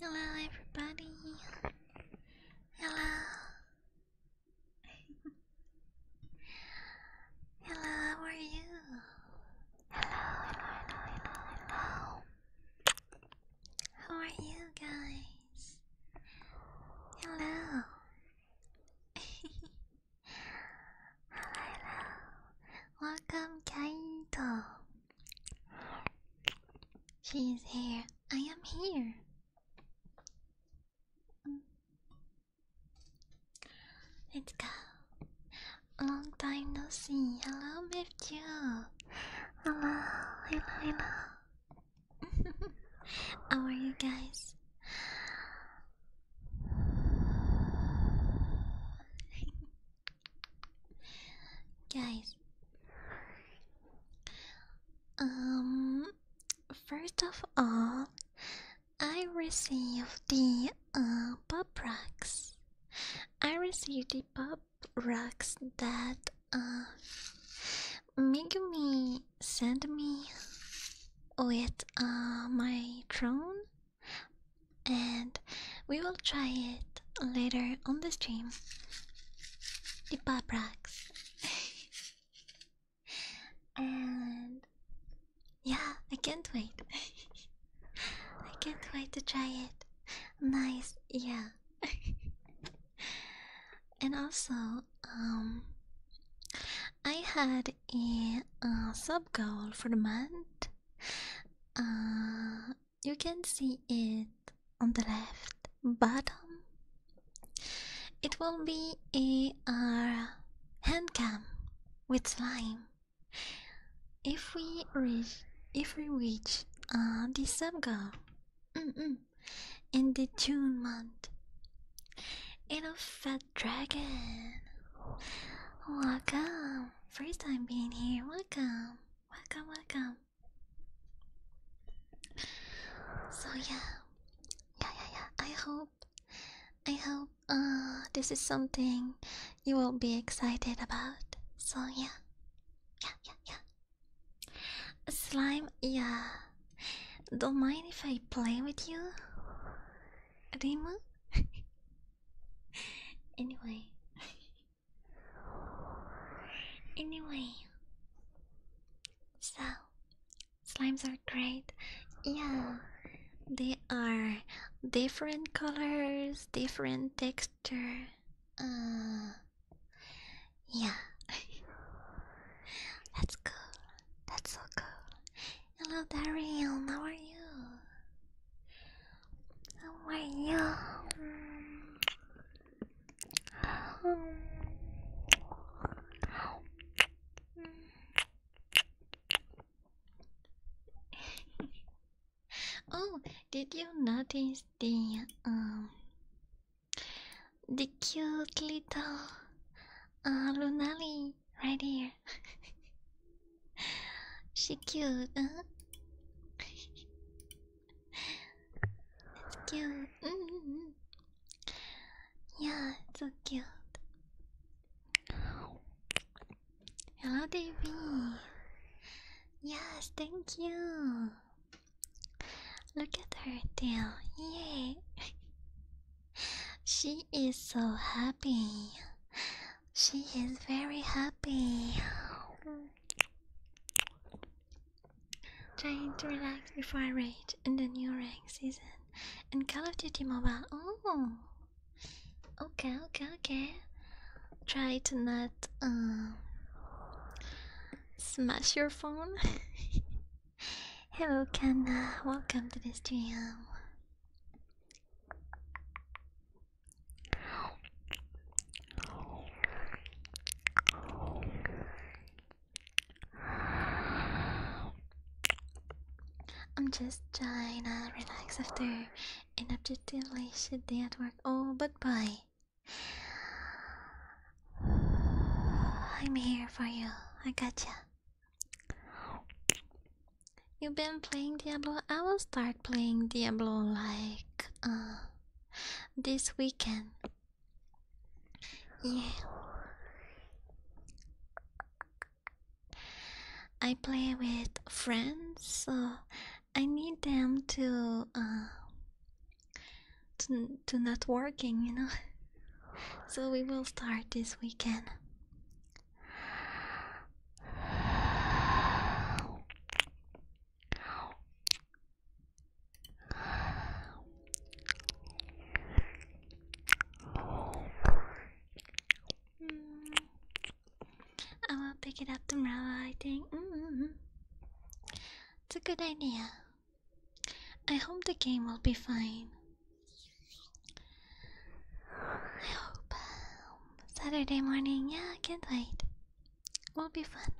Hello, everybody. Hello. hello, how are you? Hello, hello, hello, hello, hello. How are you guys? Hello. hello, hello. Welcome, Kaito. She's here. I am here. Let's go. Long time no see. Hello, Mifju. Hello, hello, hello. How are you guys? Guys, um, first of all, I received the uh, pop rocks. I received the pop rocks that uh, Megumi sent me with uh, my drone and we will try it later on the stream. The Paprax. and yeah, I can't wait. I can't wait to try it. Nice, yeah. and also, um, I had a uh, sub goal for the month. Uh, you can see it on the left bottom. It will be a our uh, hand cam with slime. If we reach, if we reach uh, the sub goal in the June month, in a fat dragon. Welcome, first time being here. Welcome welcome, welcome. So yeah, yeah, yeah, yeah. I hope, I hope, uh, this is something you will be excited about. So yeah, yeah, yeah, yeah. Slime, yeah. Don't mind if I play with you, Rimu. anyway. Anyway, so slimes are great. Yeah, they are different colors, different texture. Uh, yeah, that's cool. That's so cool. Hello, Daryl. How are you? How are you? Um, oh, did you notice the um the cute little uh, Lunali right here? she cute, huh? it's cute. Yeah, so cute. Hello, Davy. Yes, thank you. Look at her tail. yeah. she is so happy. She is very happy. Trying to relax before I rage in the new rank season in Call of Duty Mobile. Oh, okay, okay, okay. Try to not uh, smash your phone. Hello, Kanna. Welcome to this stream. I'm just trying to relax after an objectively shit day at work. Oh, but bye. I'm here for you. I got you. You've been playing Diablo. I will start playing Diablo like uh, this weekend. Yeah. I play with friends, so I need them to uh to to not working, you know. So we will start this weekend. Mm. I will pick it up tomorrow, I think. Mm-hmm. It's a good idea. I hope the game will be fine. I hope. Saturday morning, yeah, I can wait. Won't be fun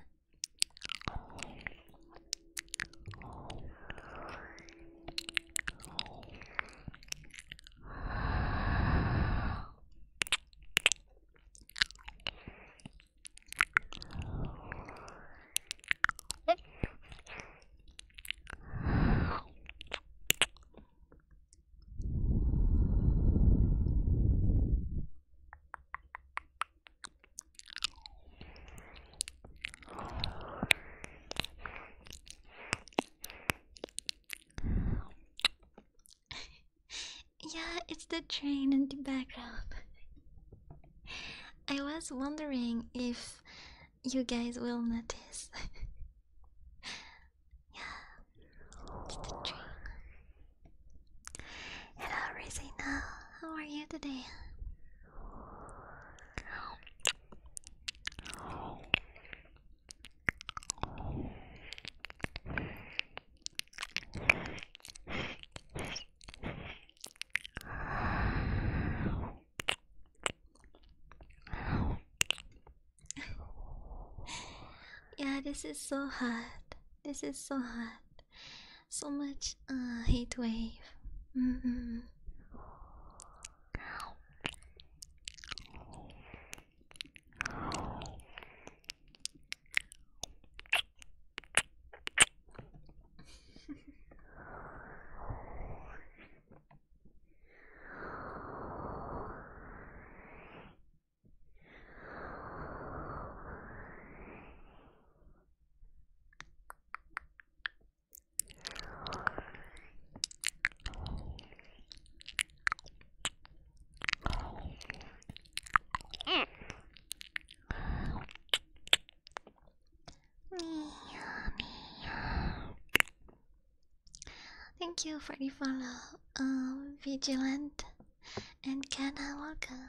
yeah, it's the train in the background. I was wondering if you guys will notice. Yeah, Hello, Rosina. How are you today? yeah, this is so hot. This is so hot. So much uh, heat wave. Mm-hmm. Thank you for the follow, um, Vigilant and can Kana, welcome.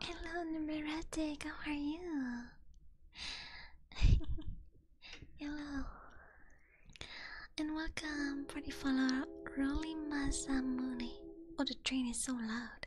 Hello, Number Numeratic, how are you? Hello, and welcome for the follower Rolly Masamune. Oh, the train is so loud.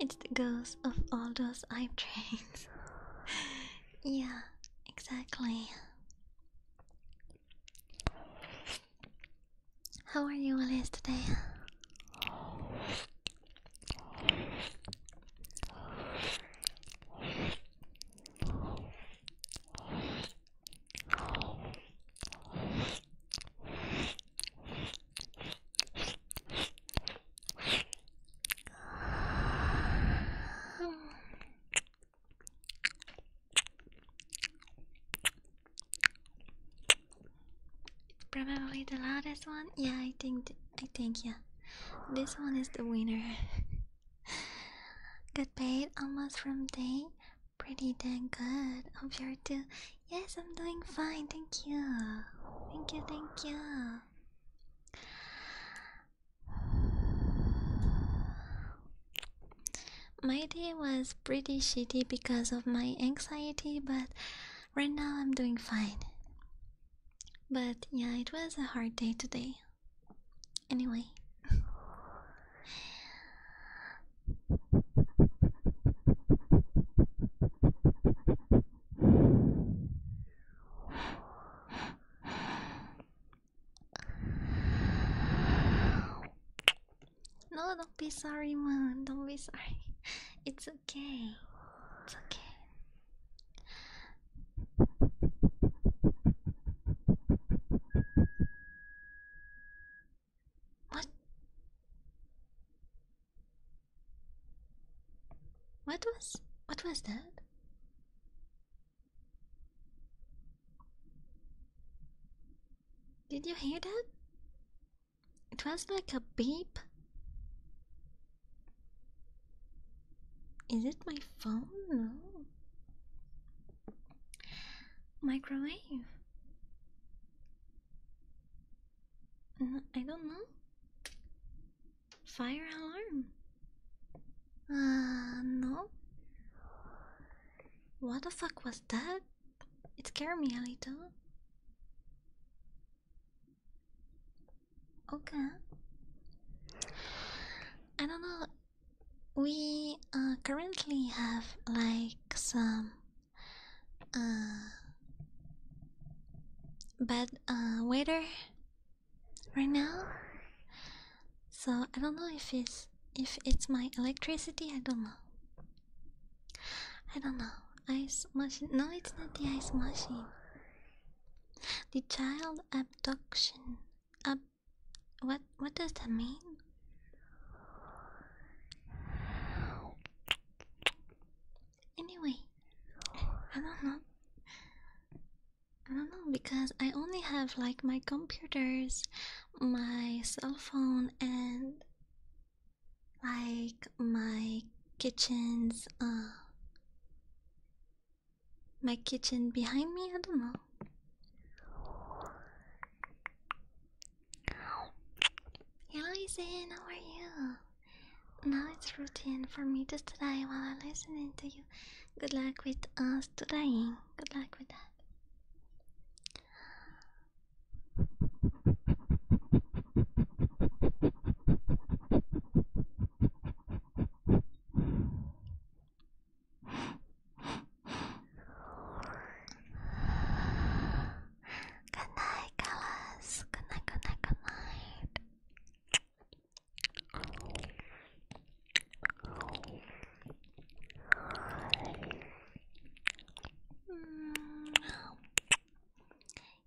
It's the ghost of all those hype trains. yeah, exactly. How are you, Alice, today? It's Probably the loudest one. Yeah, I think. I think yeah. This one is the winner. Good bait, almost from day. Pretty dang good. I'm sure too. Yes, I'm doing fine. Thank you. Thank you. Thank you. My day was pretty shitty because of my anxiety, but right now I'm doing fine. But yeah, it was a hard day today. Anyway. No, don't be sorry, man. Don't be sorry. It's okay. It's okay. What? What was what was that? Did you hear that? It was like a beep. Is it my phone? No. Microwave. Uh, I don't know. Fire alarm? Uh, no. What the fuck was that? It scared me a little. Okay. I don't know. We uh, currently have like some uh, bad uh, waiter right now. So I don't know if it's if it's my electricity. I don't know. I don't know. Ice machine. No, it's not the ice machine. The child abduction. Ab. What? What does that mean? Anyway, I don't know. I don't know because I only have like my computers, my cell phone, and like my kitchen's uh my kitchen behind me, I don't know. Hello Izan, how are you? Now it's routine for me to stay while I'm listening to you. Good luck with uh, studying. Good luck with that. Good night, Carlos. Good night, good night, good night.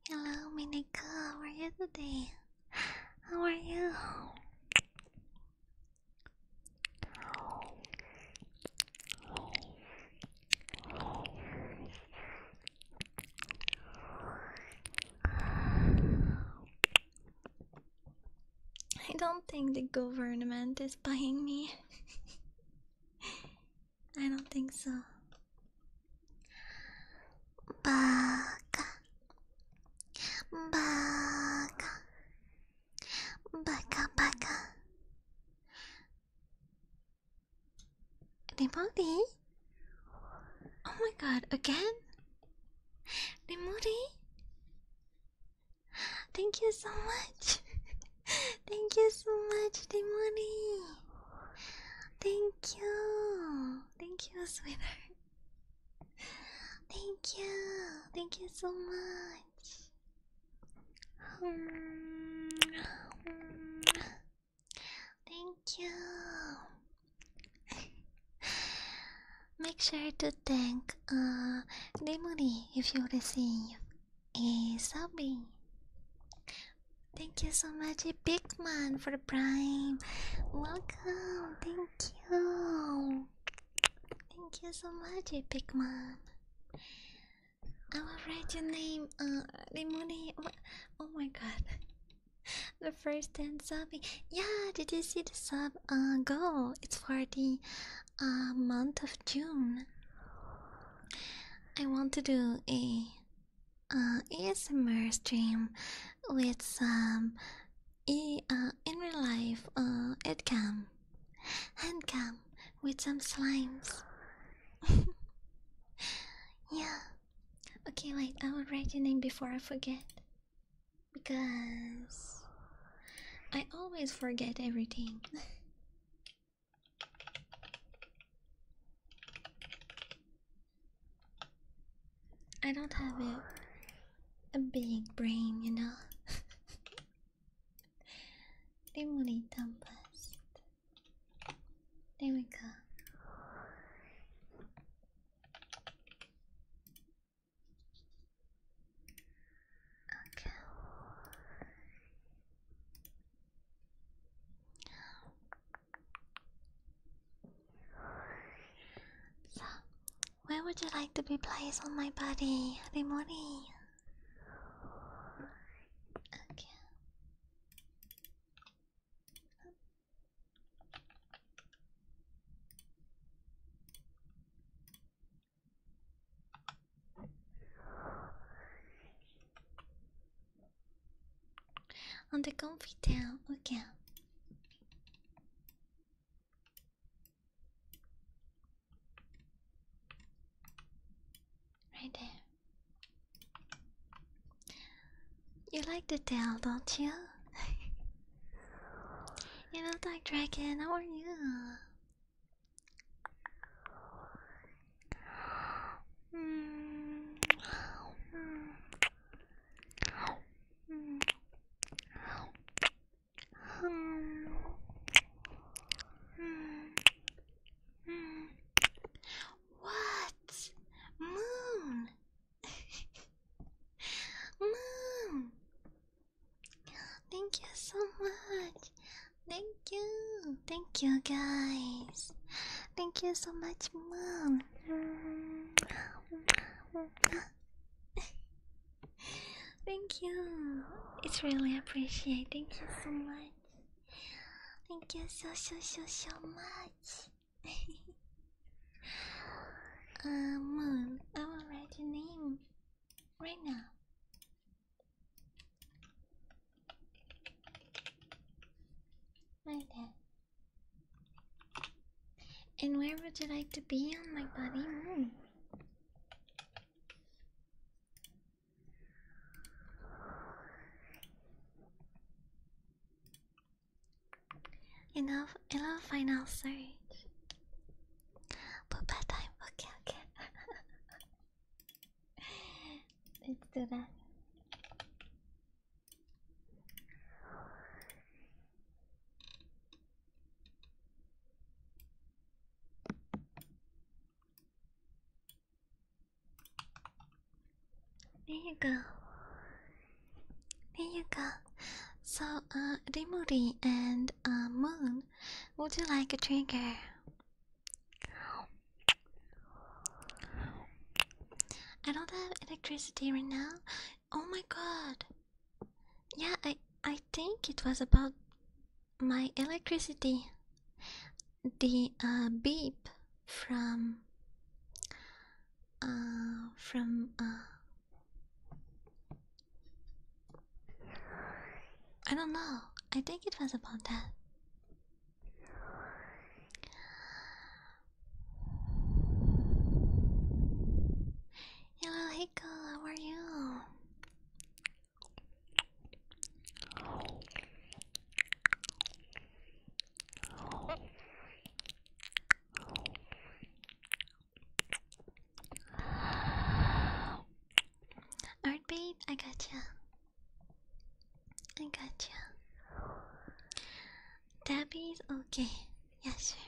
Hello, Minika. How are you today? How are you? I don't think the government is buying me. I don't think so. Baka. Baka. Baka, baka. Demody? Oh my god, again? Demody? Thank you so much. Thank you so much, Demody. Thank you. Thank you, sweetheart. Thank you. Thank you so much. Um, um, Thank you. Make sure to thank uh if you receive a subby. Thank you so much, Pigman, for the prime. Welcome, thank you. Thank you so much, Pigman. I will write your name, uh, Limoni. Oh my god. The first dance subbing. Yeah, did you see the sub uh, goal? It's for the uh, month of June. I want to do a uh, ASMR stream with some e uh, in real life uh, headcam, handcam with some slimes. yeah. Okay, wait, I will write your name before I forget. Because I always forget everything. I don't have a, a big brain, you know. Dimly Tempest. There we go. Okay. So, where would you like to be placed on my body, Rimori? Okay. On the comfy town, okay. Right there. You like the tail, don't you? you little Dragon, how are you? What? Moon! Moon! Thank you so much! Thank you! Thank you guys! Thank you so much, Moon! Thank you! It's really appreciated. Thank you so much. Thank you so so so so much. uh, Moon, I will write your name right now. Right there. And where would you like to be on my body? You know, I love final search. Poopa Okay, okay. Let's do that. There you go. There you go. So, uh, Rimuri and uh, Moon, would you like a drinker? I don't have electricity right now. Oh my god. Yeah, I I think it was about my electricity. The uh, beep from uh from uh I don't know. I think it was about that. Hello, Hiko, how are you? Alright, babe, I gotcha. I gotcha. Tabby's okay. Yes, sir.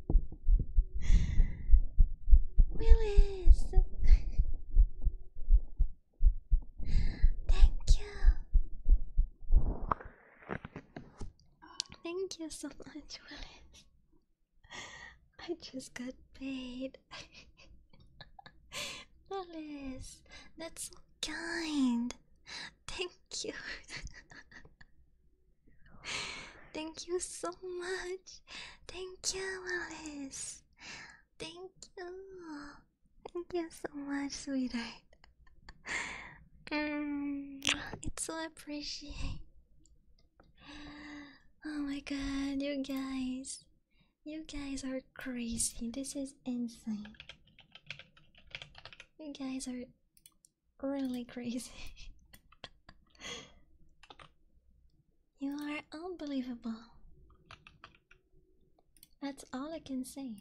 Willis, thank you, thank you so much, Willis. I just got paid. Willis, that's so kind. Thank you. Thank you so much. Thank you, Alice. Thank you. Thank you so much, sweetheart. Um, it's so appreciated. Oh my god, you guys. You guys are crazy. This is insane. You guys are really crazy. you are unbelievable. That's all I can say.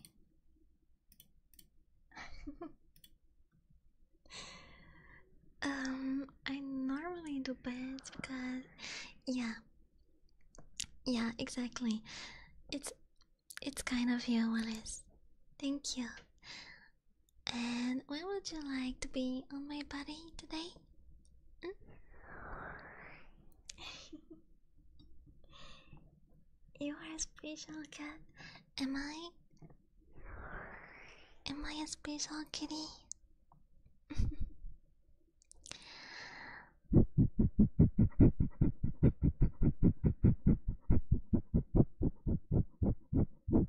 um, I normally do beds because, yeah, yeah, exactly. It's it's kind of you, Willis. Thank you. And where would you like to be on my body today? Hmm? you are a special cat. Am I? Am I a special kitty?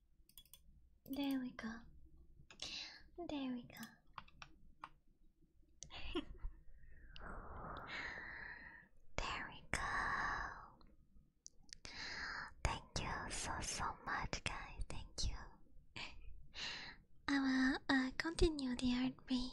There we go. There we go. there we go. Thank you so so much, guys. Thank you. I will uh, continue the art read.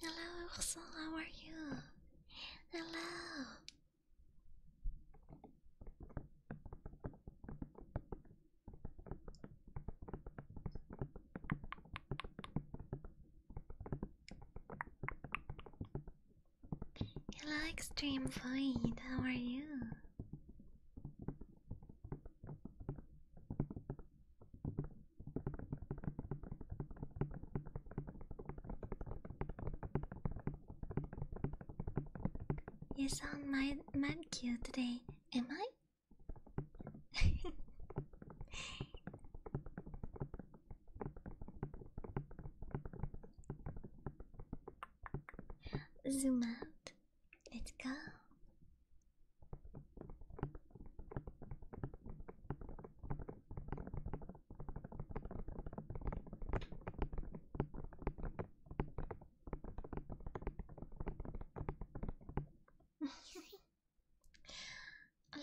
Hello, Ursula, how are you? Hello. Hello, Extreme Void, how are you? You sound mad, mad cute today, am I? Zoom out. Let's go.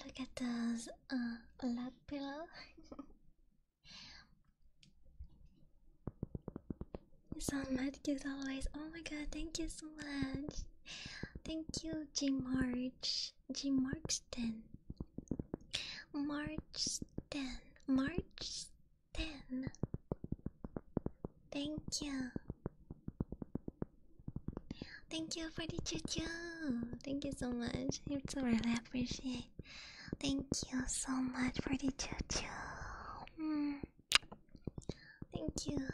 Look at those uh lap pillow. you sound mad cute always. Oh my god, thank you so much. Thank you, Jim March. Jim Markston. March 10. March 10. Thank you. Thank you for the choo-choo. Thank you so much. you It's really appreciate. Thank you so much for the choo-choo. Hmm. Thank you.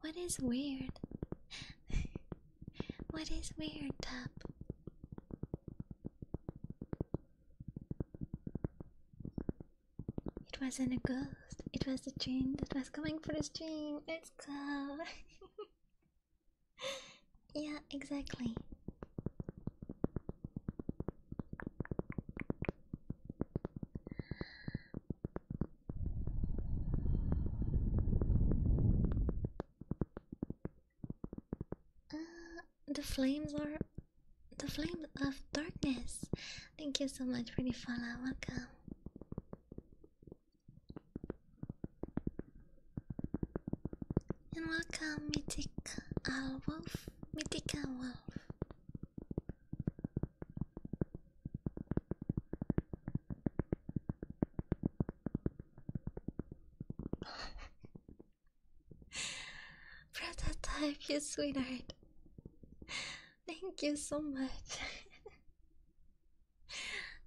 What is weird? what is weird, Top? It wasn't a ghost, it was the train that was coming for the train. yeah, exactly. Uh, the flames are the flames of darkness. Thank you so much for the follow. Welcome. And welcome, Mythic uh, Wolf. Mythic uh, Wolf. Prototype, you sweetheart. Thank you so much.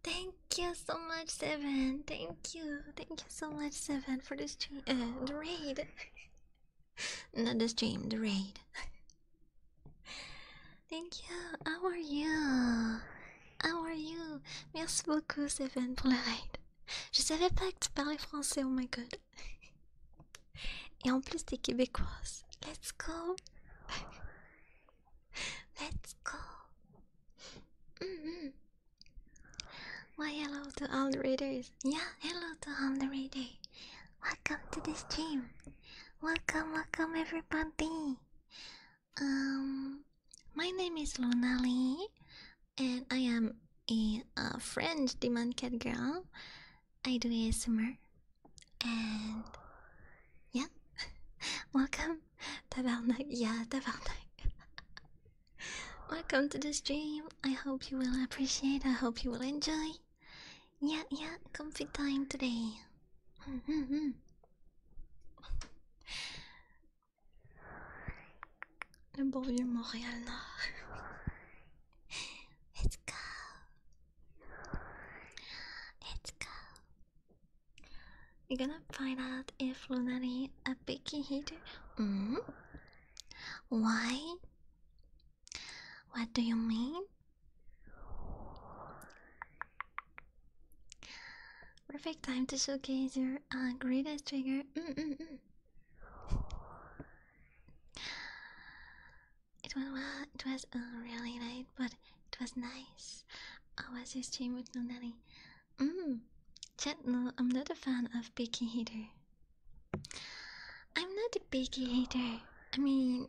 Thank you so much, Seven. Thank you. Thank you so much, Seven, for this stream. Uh, the raid. Not the stream, the raid. Thank you. How are you? How are you? Merci beaucoup, Seven, pour le raid. Je savais pas que tu parlais français, oh my god. Et en plus, t'es québécoise. Let's go. Let's go. -hmm. Why hello to all the readers. Yeah, hello to all the raiders. Welcome to the stream. Welcome, welcome everybody. Um, my name is Lunali, and I am a, a French demand cat girl. I do ASMR and yeah, welcome. Yeah, welcome to the stream. I hope you will appreciate. I hope you will enjoy. Yeah, yeah, comfy time today. Le bon vieux Montréal Nord. Let's go. Let's go. You're gonna find out if Lunari a picky eater. Mm? Mm-hmm. Why? What do you mean? Perfect time to showcase your uh, greatest trigger. Mm -mm -mm. It went well. It was really late, but it was nice. I was just stream with Nunani. Mmm. Chat, I'm not a fan of picky eater. I'm not a picky eater. I mean,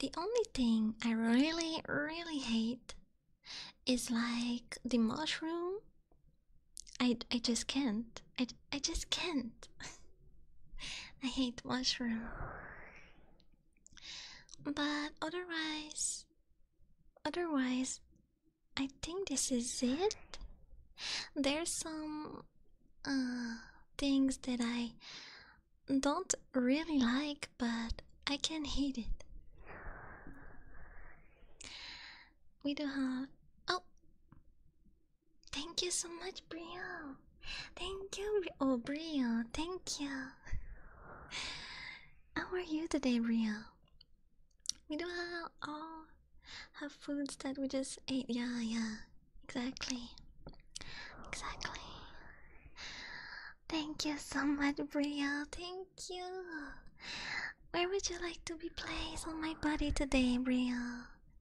the only thing I really, really hate is like the mushroom. I I just can't. I I just can't. I hate mushroom. But otherwise, otherwise, I think this is it. There's some uh, things that I don't really like, but I can not hate it. We do have. Oh! Thank you so much, Brielle! Thank you, oh Brio, thank you. How are you today, Brio? We do all, all have foods that we just ate. Yeah, yeah, exactly, exactly. Thank you so much, Brio. Thank you. Where would you like to be placed on my body today, Brio?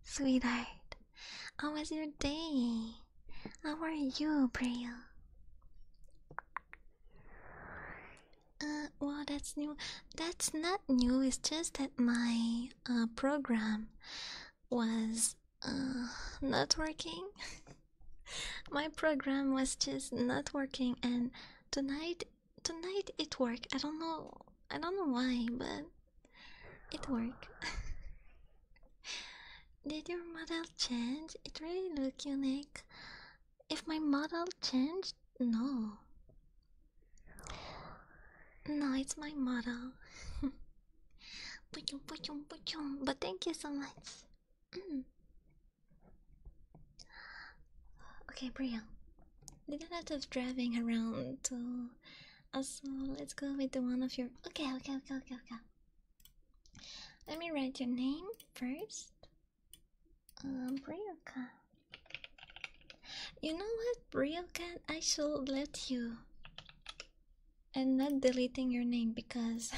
Sweetheart, how was your day? How are you, Braille? Uh, well, that's new. That's not new. It's just that my uh, program was uh, not working. my program was just not working, and tonight, tonight it worked. I don't know. I don't know why, but it worked. Did your model change? It really look unique. If my model changed, no. No, it's my model. but thank you so much. Mm. Okay, Priya. Did a lot of driving around So, also let's go with the one of your okay okay okay okay okay let me write your name first. Um, You know what, Brioca? I shall let you. And not deleting your name because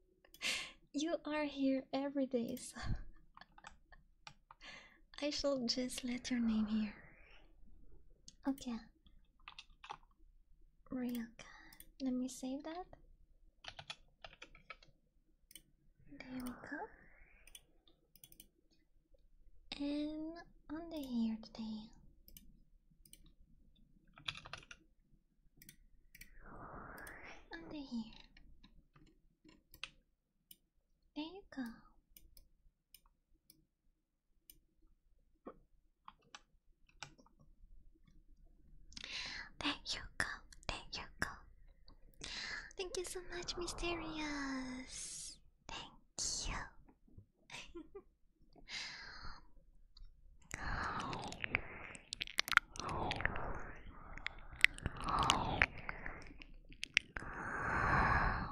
you are here every day, so I shall just let your name here. Okay. Ryoka. Let me save that. There we go. And on here today. Under here. There you go. There you go, there you go. Thank you so much, Mysterious. Thank you.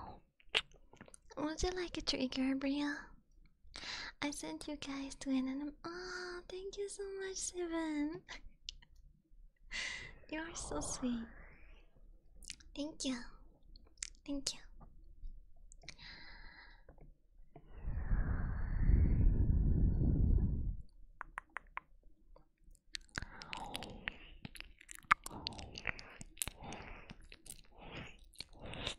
Would you like a trigger, Bria? I sent you guys to an anime. Oh, thank you so much, Seven. you are so sweet. Thank you. Thank you.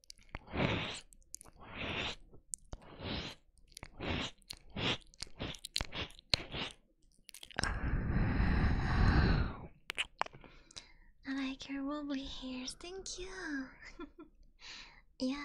I like your wobbly hairs, thank you. yeah.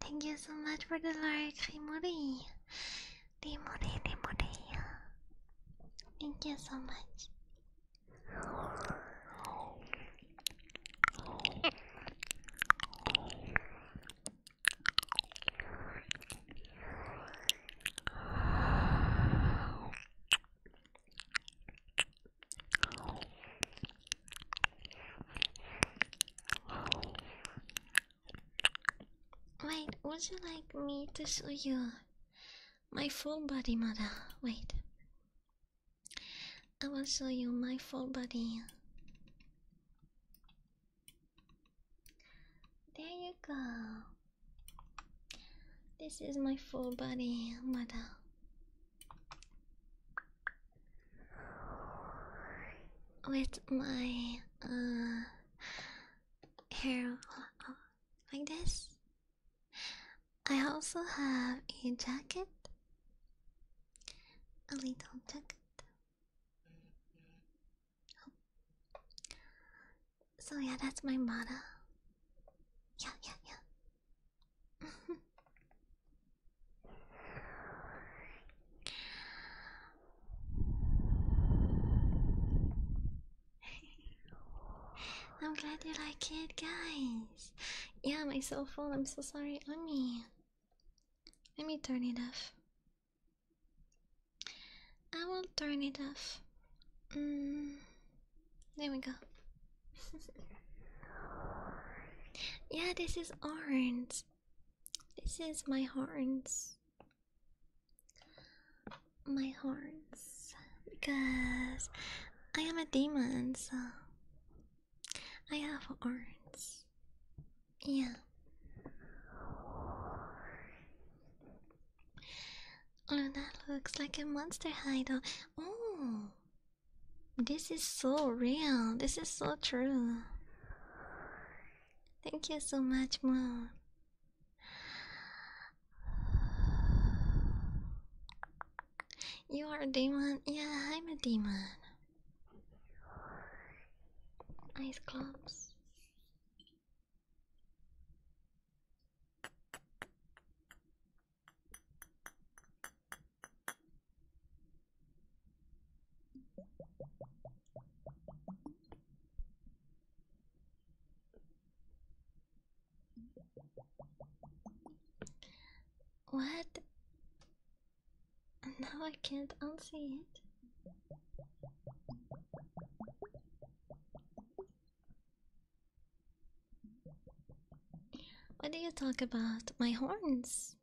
Thank you so much for the like, Himori. Himori, Himori. Thank you so much. Wait, would you like me to show you my full body mother? Wait. I will show you my full body. There you go. This is my full body, mother. With my uh, hair like this. I also have a jacket, a little jacket. So yeah, that's my motto. Yeah, yeah, yeah. I'm glad you like it, guys. Yeah, my cell phone. I'm so sorry. Let let me turn it off. I will turn it off. Mm, there we go. yeah, this is orange. This is my horns. My horns. Because I am a demon, so I have horns. Yeah. Luna oh, looks like a monster hideout. Oh, this is so real. This is so true. Thank you so much, Moon. You are a demon. Yeah, I'm a demon. Ice closed. What? Now I can't unsee it. What do you talk about? My horns.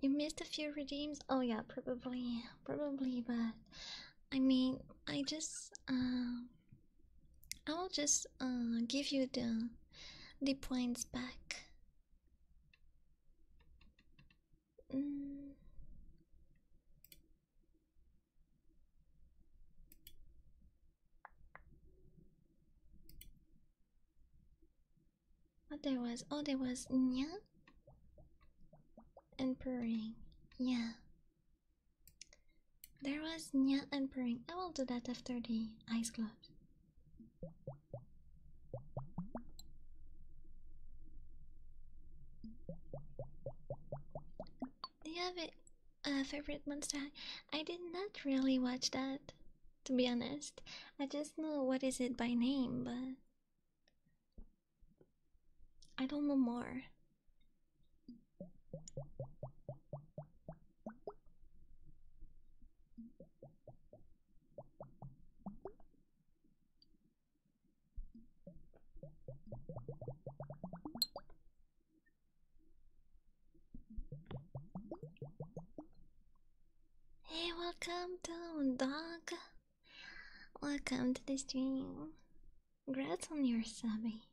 You missed a few redeems? Oh yeah, probably, probably, but I mean, I just um, I will just uh, give you the the points back. Mm. Oh, there was? Oh, there was yeah, and purring. Yeah, there was Nya Emperor. I will do that after the ice gloves. Do you favorite monster? I did not really watch that, to be honest. I just know what is it by name, but I don't know more. Hey, welcome down, dog. Welcome to the stream. Congrats on your subby.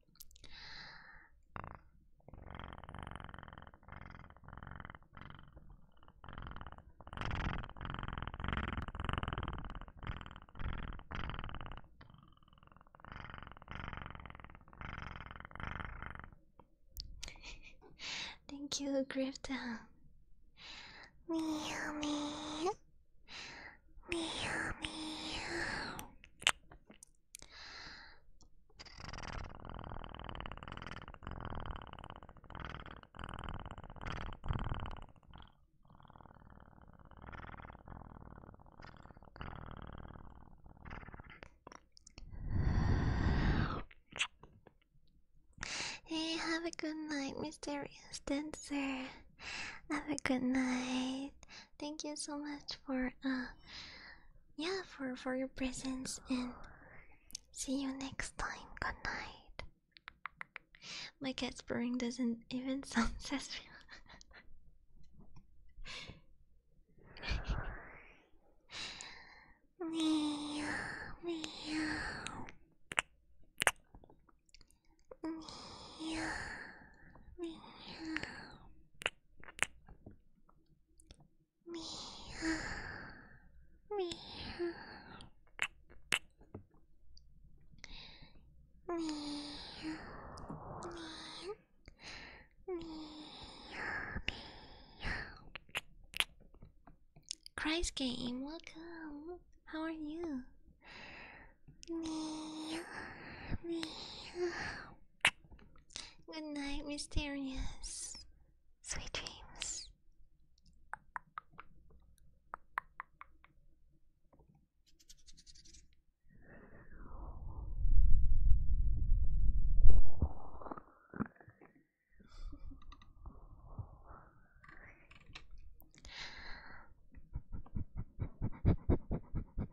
Thank you, Grifton. Meow meow. Meow meow. Hey, have a good night, mysterious dancer. Have a good night. Thank you so much for uh, yeah for for your presence and see you next time. Good night. My cat's spurring doesn't even sound satisfying. meow, meow. Meow, meow. Christ game, welcome. How are you? Meow, meow, Good night, mysterious. Sweet dreams.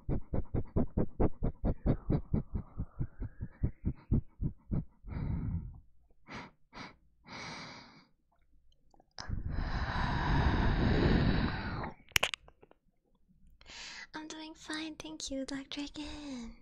I'm doing fine, thank you, Dr. Again.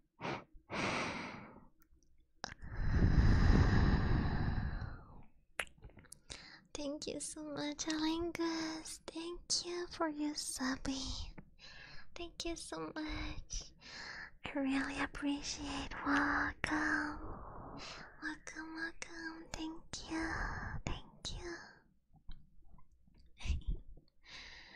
Thank you so much, Alingus. Thank you for your subbing. Thank you so much. I really appreciate. Welcome, welcome, welcome. Thank you, thank you.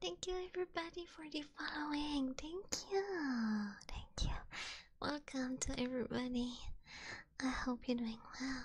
Thank you everybody for the following. Thank you. Thank you. Welcome to everybody. I hope you're doing well.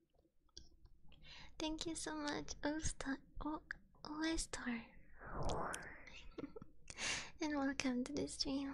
Thank you so much, Osta oh, o oh, Oestar. Oh, and welcome to this channel.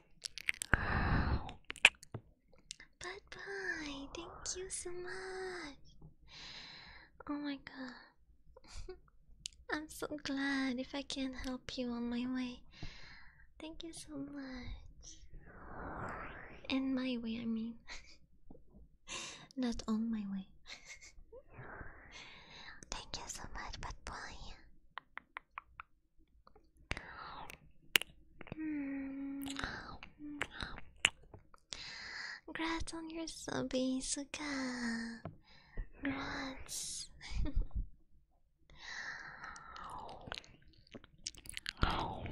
Bye bye. Thank you so much. Oh my god. I'm so glad if I can help you on my way. Thank you so much. And my way, I mean. Not on my way. Thank you so much, bad boy. Grats on your subby, Suka. Congrats. I'm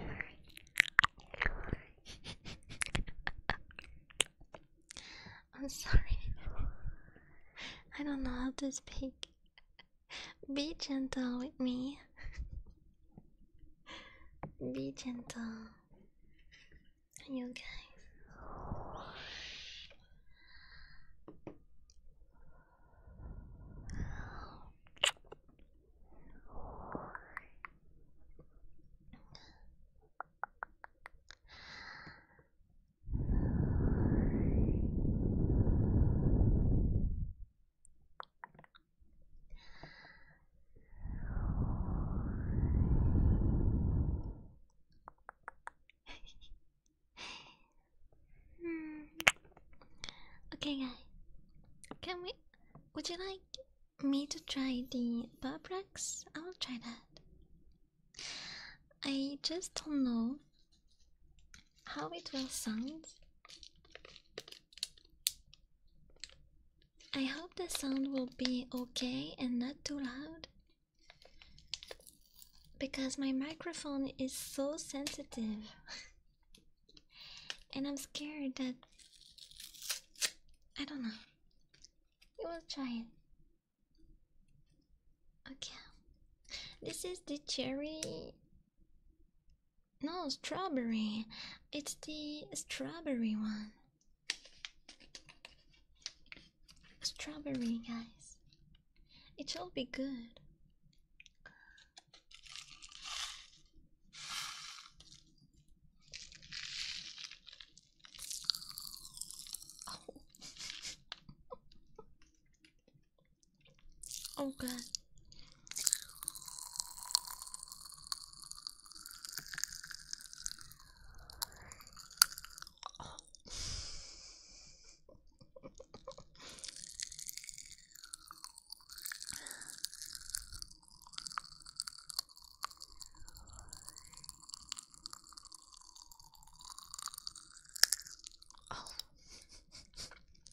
sorry. I don't know how to speak. Be gentle with me. Be gentle. You guys. Hmm. Okay, guys, can we? Would you like me to try the Burbrax? I'll try that. I just don't know how it will sound. I hope the sound will be okay and not too loud because my microphone is so sensitive and I'm scared that I don't know. We will try it. Okay. This is the cherry no, strawberry. It's the strawberry one. Strawberry, guys. It shall be good. Okay. Oh. oh.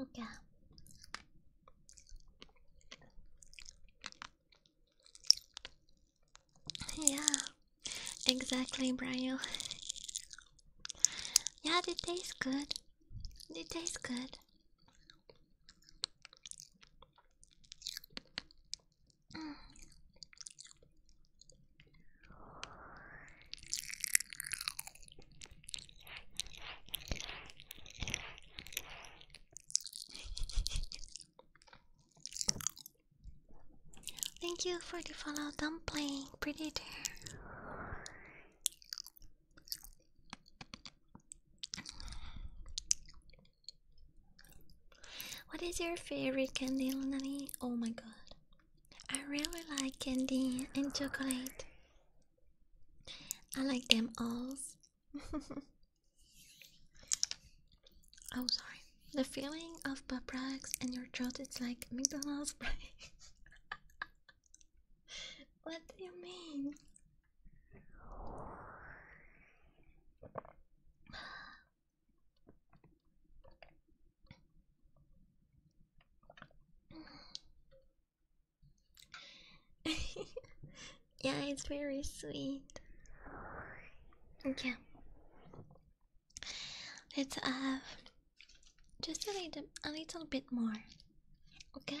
Okay. Yeah, exactly, Brian. Yeah, it tastes good. It tastes good. Thank you for the follow dumpling, Pretty Predator. What is your favorite candy, Lunani? Oh my god. I really like candy and chocolate. I like them all. oh, sorry. The feeling of pop in your throat, it's like McDonald's break. what do you mean? yeah, it's very sweet. Okay. Let's have uh, just a little, a little bit more. Okay.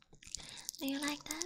Do you like that?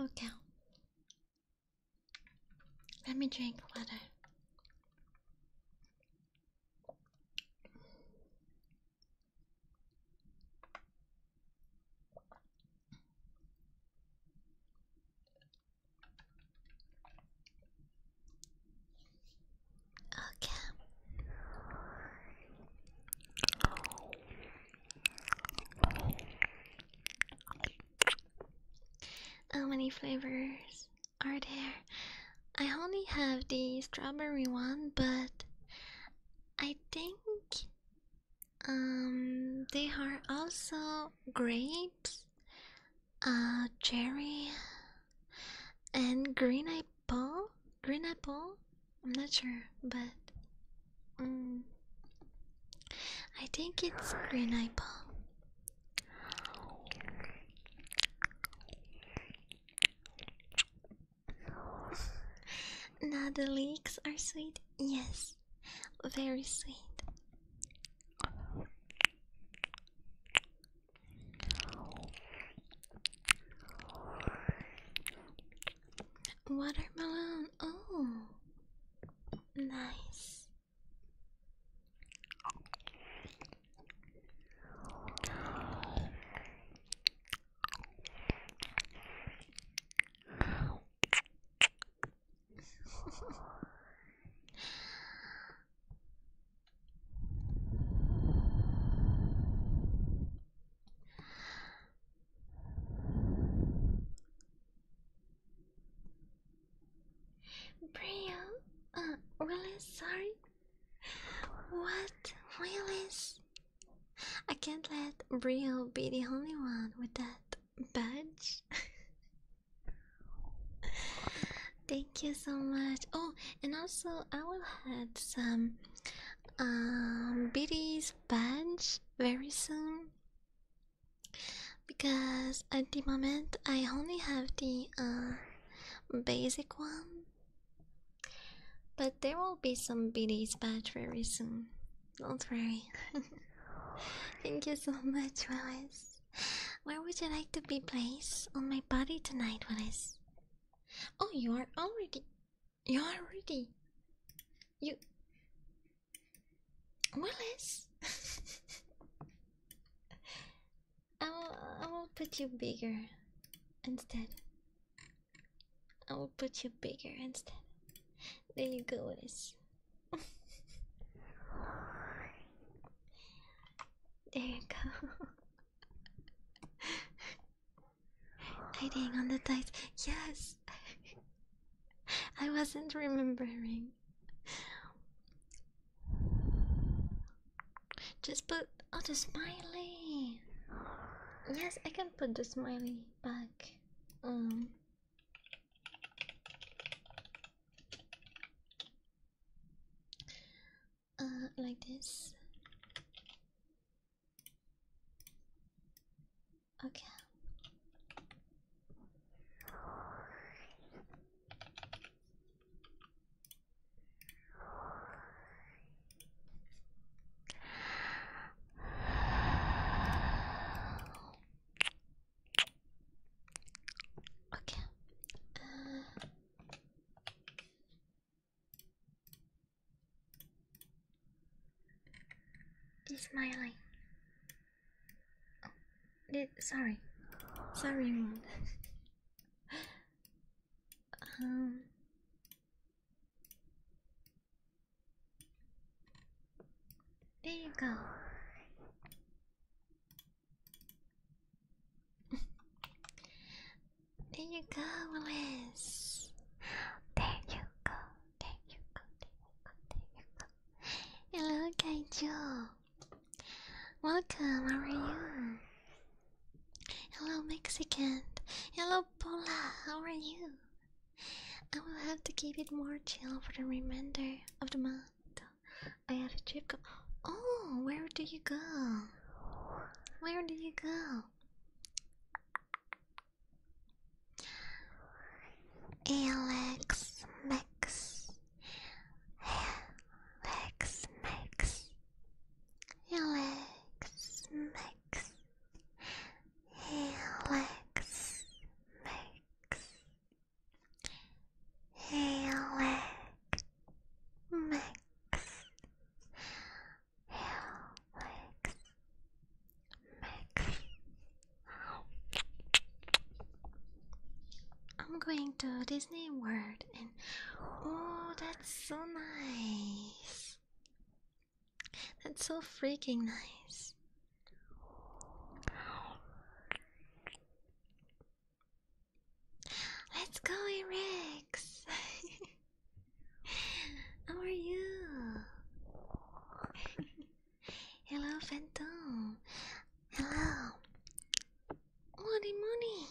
Okay. Let me drink water. Okay. How many flavors are there? I only have the strawberry one, but I think um they are also grapes, uh cherry and green, I apple? Green apple? I'm not sure, but mm, I think it's green apple. now the leeks are sweet. Yes, very sweet. Watermelon. Oh, nice. Brio, uh, really sorry. What? Really? I can't let Brio be the only one with that badge. Thank you so much. Oh, and also I will have some um BD's badge very soon because at the moment I only have the uh basic one. But there will be some BD's badge very soon. Don't worry. Thank you so much, Wallace. Where would you like to be placed on my body tonight, Wallace? Oh, you are already. You are ready. You. Willis! I will, I will put you bigger instead. I will put you bigger instead. There you go, Willis. there you go. Hiding on the dice. Yes! I wasn't remembering. Just put oh the smiley. Yes, I can put the smiley back. Um uh, like this. Okay. Okay. Uh, this my line. Oh, this, sorry. Sorry, um. There you go there you go, Willis. There you go. There you go. There you go. There you go. Hello, Kaiju. Welcome. How are you? Hello, Mexican. Hello, Paula. How are you? I will have to keep it more chill for the remainder of the month. I have a trip. oh, where do you go? Where do you go? Alex Max. Alex Max. Alex Max. Alex Max. Alex Max. I'm going to Disney World and oh, that's so nice. That's so freaking nice. Let's go, Rex. How are you? Hello, Phantom. Hello. Oh, the money.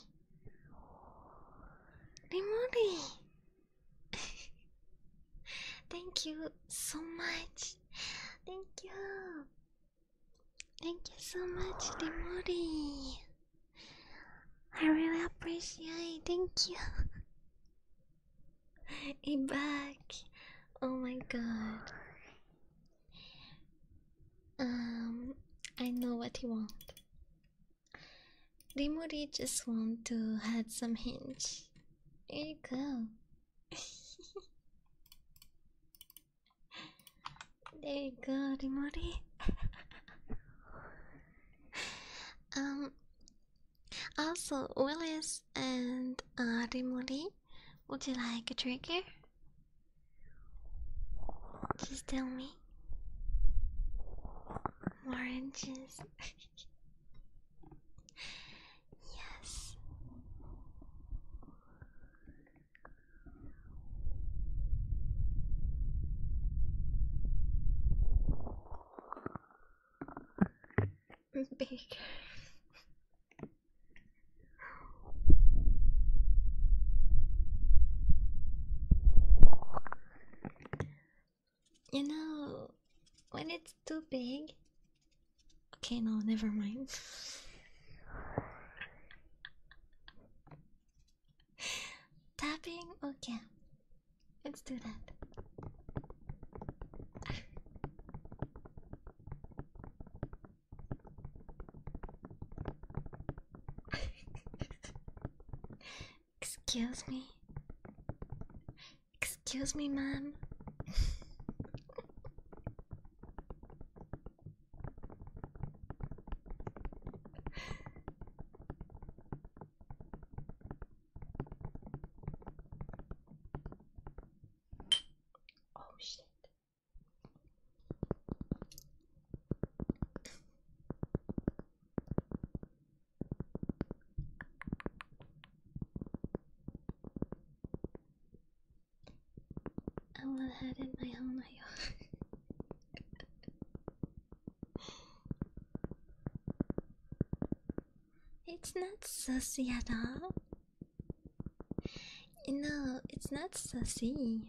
money. Thank you so much. Thank you. Thank you so much, Demori. I really appreciate it. Thank you. It back. Oh my god. Um, I know what you want. Rimuri just want to add some hint. Here you go. There you go, Rimori. um, also, Willis and uh, Rimori, would you like a trigger? Just tell me. Oranges. yes. Big. You know, when it's too big. Okay, no, never mind. Tapping? Okay. Let's do that. Excuse me. Excuse me, ma'am. oh shit. I will head in my own It's not sassy at all. No, it's not sassy.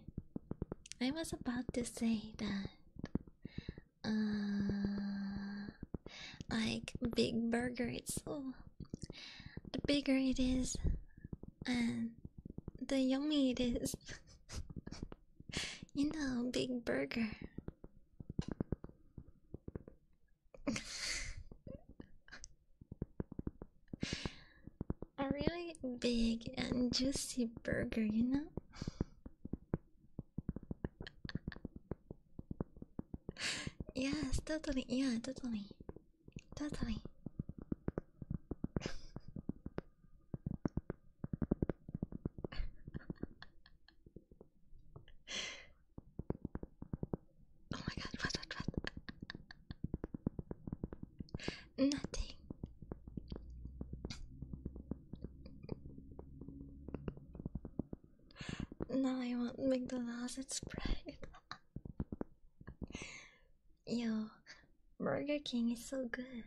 I was about to say that. Uh, like Big Burger, it's oh, the bigger it is, and the yummy it is. You know, big burger. A really big and juicy burger, you know? Yeah, totally, yeah, totally. Totally. oh my god, what, what, what? Nothing. Now I want McDonald's and Sprite. Yo, Burger King is so good.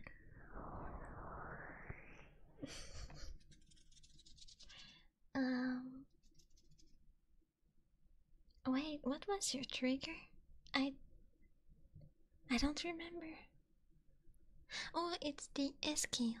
um. Wait, what was your trigger? I. I don't remember. Oh, it's the SK. one.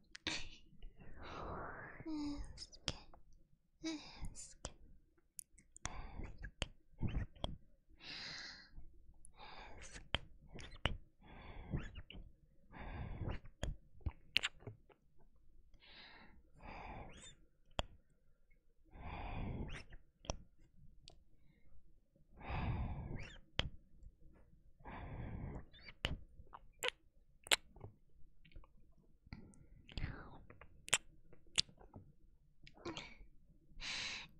Ask, ask, ask, ask, ask,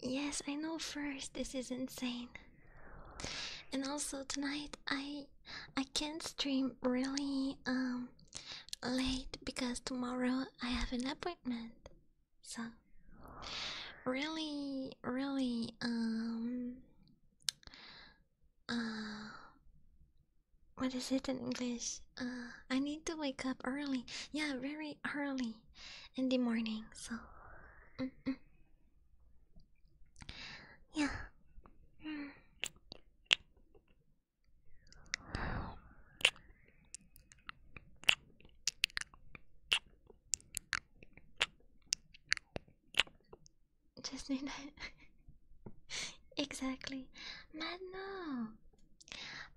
yes, I know first this is insane. And also tonight I I can't stream really um late because tomorrow I have an appointment. So really really um uh, what is it in English? Uh, I need to wake up early. Yeah, very early in the morning. So, yeah. Just need night. exactly. Madno!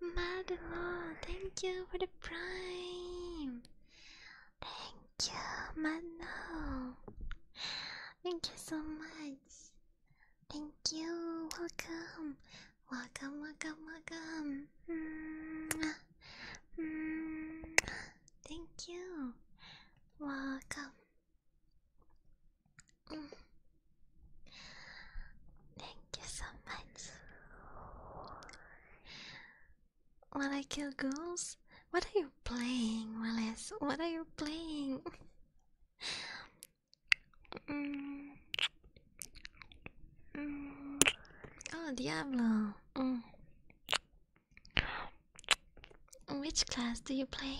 Madno, thank you for the prime. Thank you, Madno. Thank you so much. Thank you. Welcome. Welcome, welcome, welcome. -hmm. Thank you. Welcome. Mm. Thank you so much. While I kill girls? What are you playing, Willis? What are you playing? Mm. Mm. Oh, Diablo. Mm. Which class do you play?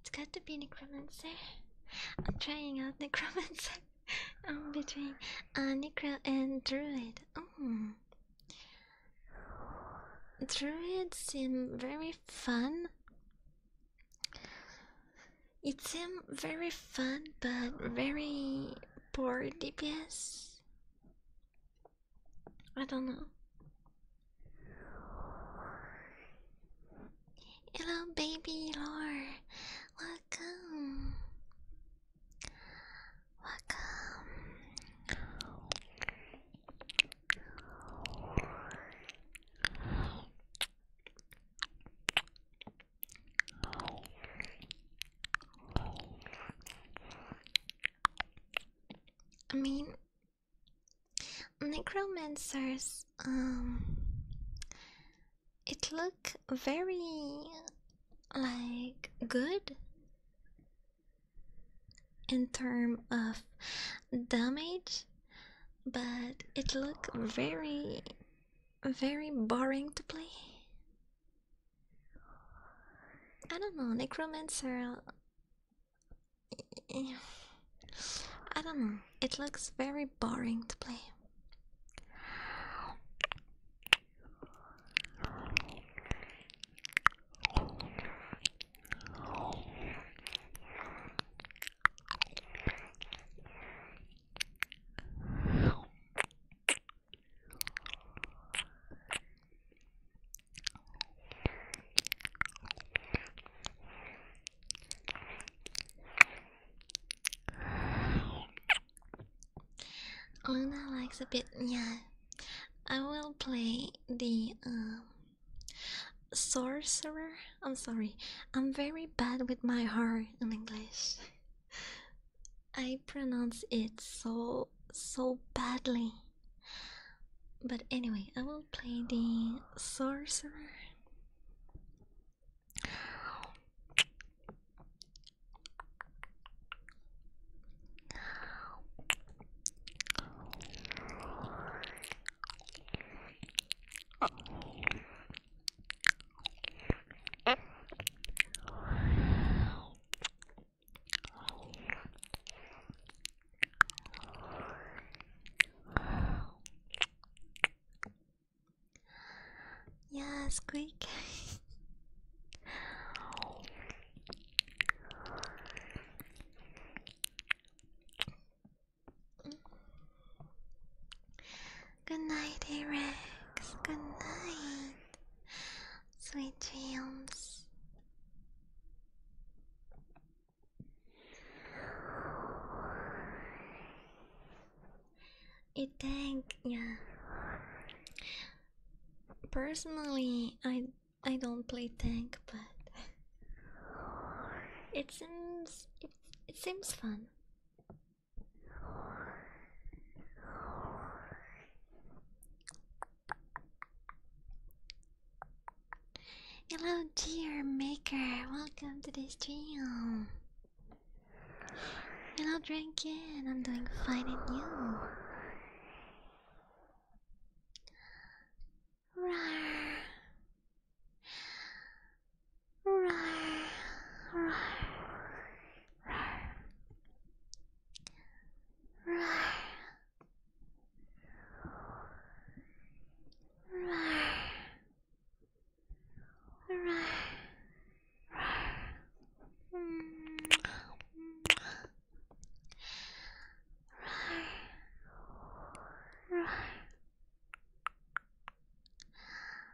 It's got to be necromancer. I'm trying out necromancer. between uh, necro and druid. Mm. Druids seem very fun. It seems very fun, but very poor DPS. I don't know. Hello, baby Lore. Welcome. Welcome. I mean, necromancers, um, it look very like good in term of damage, but it look very, very boring to play. I don't know, necromancer. Eh, eh, I don't know, it looks very boring to play. Luna likes a bit, yeah. I will play the um, sorcerer. I'm sorry, I'm very bad with my heart in English. I pronounce it so so badly. But anyway, I will play the sorcerer. Yeah, squeak. Good night, Rex. Good night. Sweet dreams. I think, yeah. Personally, I I don't play tank, but it seems it, it seems fun. Hello, dear maker. Welcome to the stream. Hello, Dragon. I'm doing fine, and you? Roar. Roar. Roar. Roar. Roar. Roar.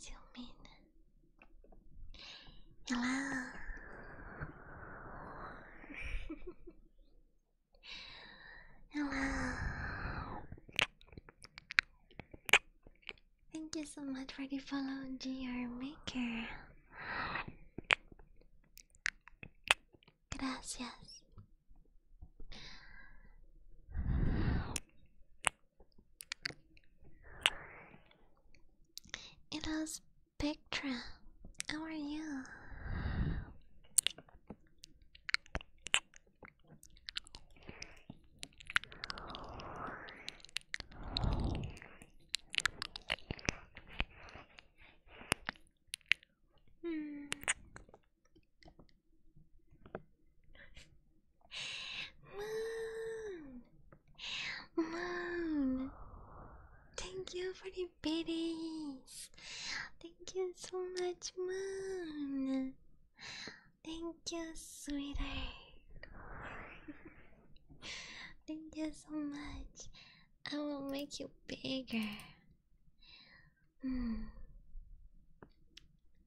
救命！有啦！有啦！Thank you so much for the follow, GR Maker. Gracias. It is Spectra. How are you? Hmm. Moon, Moon, thank you for the biddies. Thank you so much, Moon. Thank you, sweetheart. Thank you so much. I will make you bigger. Hmm.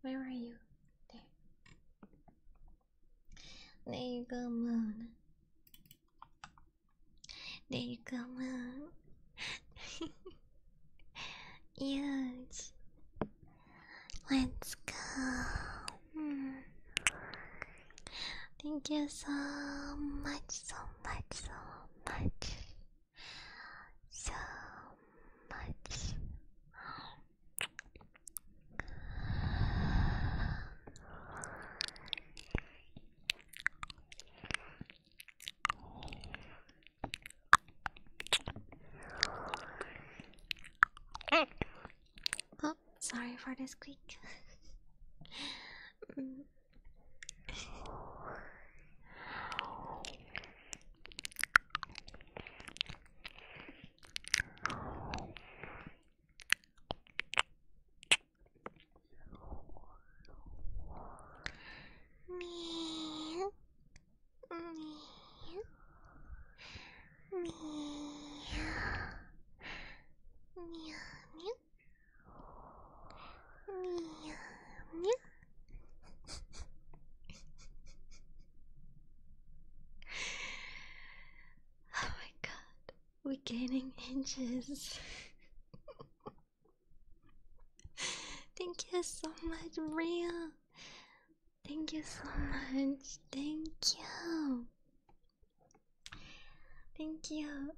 Where are you? There. There you come on. There you come on. Huge. Let's go. Thank you so much, so much, so much. So much. Oh, sorry for the squeak. mm. Oh my god, we're gaining inches. Thank you so much, Maria. Thank you so much. Thank you. Thank you.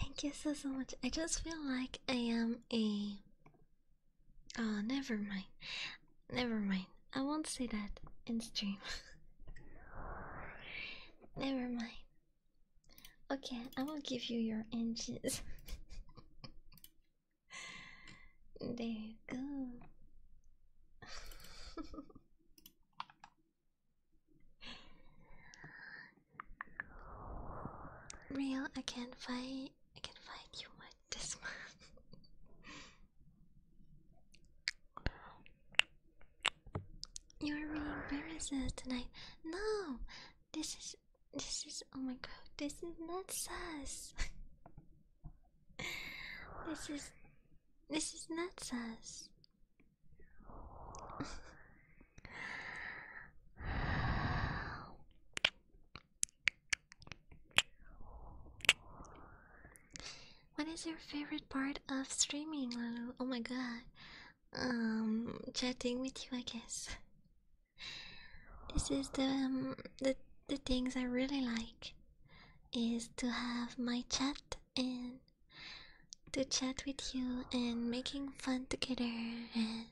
Thank you so so much. I just feel like I am a Oh, never mind. Never mind. I won't say that in stream. never mind. Okay, I will give you your inches. there you go. Real, I can't fight. I can fight you with this one. You're being very tonight. No, this is this is. Oh my god, this is not sus. This is this is nuts us. What is your favorite part of streaming, Lulu? Oh my god. Um, chatting with you, I guess. This is the um, the the things I really like is to have my chat and to chat with you and making fun together and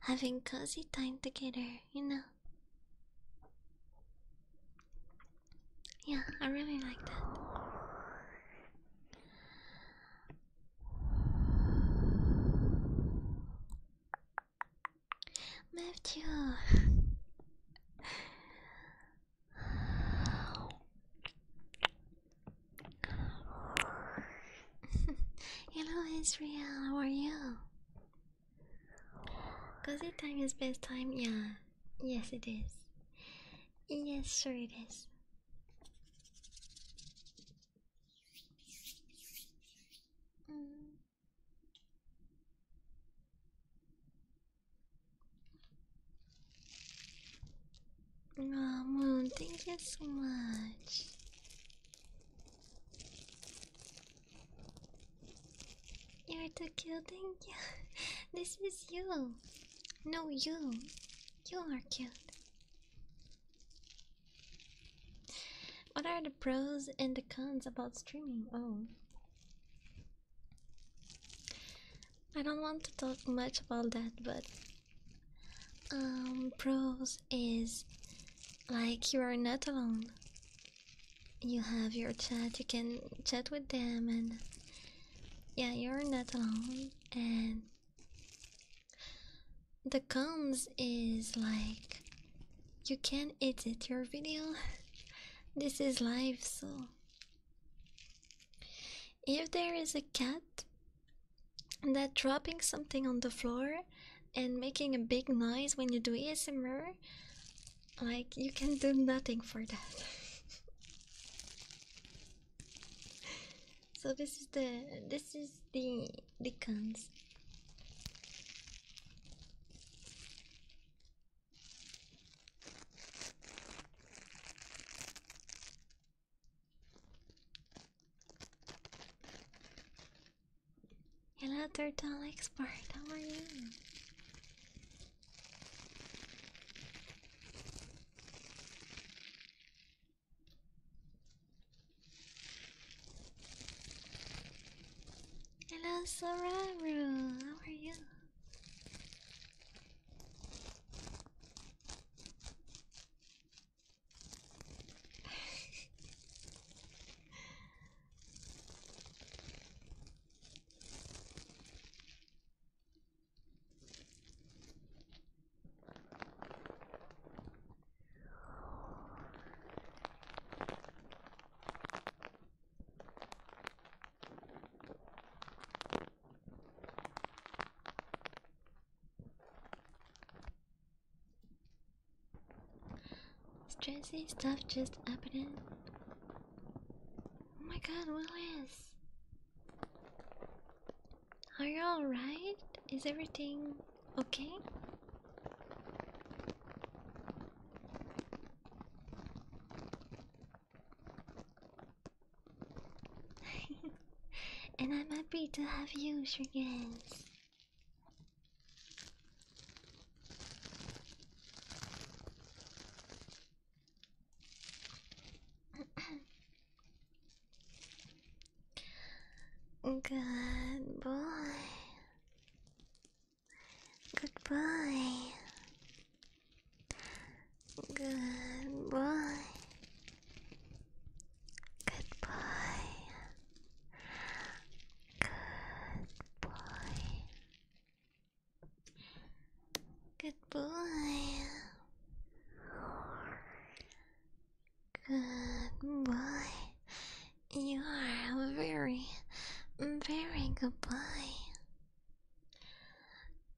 having cozy time together, you know. Yeah, I really like that. Move to. Hello, Israel. How are you? Cozy time is best time. Yeah. Yes, it is. Yes, sure it is. Mm. Ramu, thank you so much. You're too cute, thank you. this is you. No, you. You are cute. What are the pros and the cons about streaming? Oh. I don't want to talk much about that, but um pros is like you are not alone. You have your chat, you can chat with them and yeah, you're not alone and the cons is like you can edit your video. this is live, so if there is a cat that dropping something on the floor and making a big noise when you do ASMR, like you can do nothing for that. so this is the this is the the cons Hello, Turtle Expert, how are you? Hello, Soraru. How are you? Stressy stuff just happened. Oh my god, Willis! Are you alright? Is everything okay? and I'm happy to have you, Shurgens. Good boy. Goodbye. boy. Good boy. Good boy. You are a very, very good boy.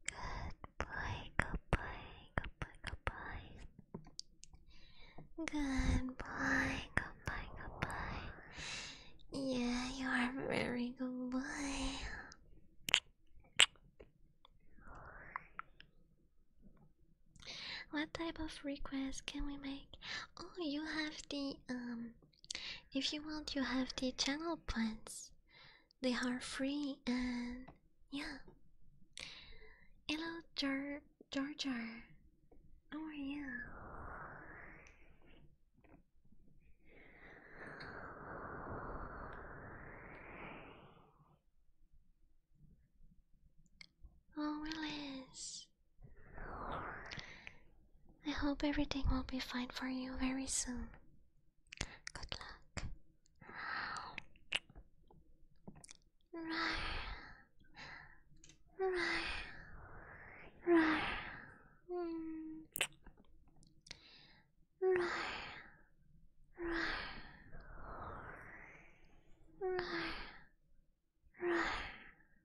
Good boy, good boy, good boy, good boy. Good boy, good boy, good boy. Yeah, you are a very good boy. What type of request can we make? Oh, you have the um if you want, you have the channel plans. They are free and yeah. Hello, Jar Jar Jar. How are you? Oh, Willis. I hope everything will be fine for you very soon. Good luck.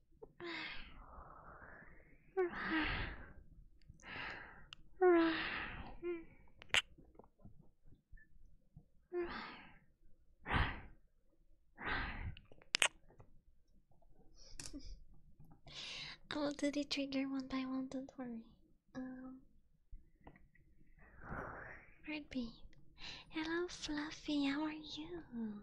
I will do the trigger one by one, don't worry. Um, Hello Fluffy, how are you?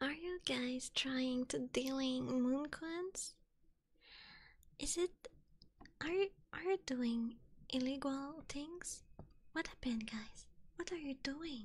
Are you guys trying to dealing coins? Is it are you are you doing illegal things? What happened guys? What are you doing?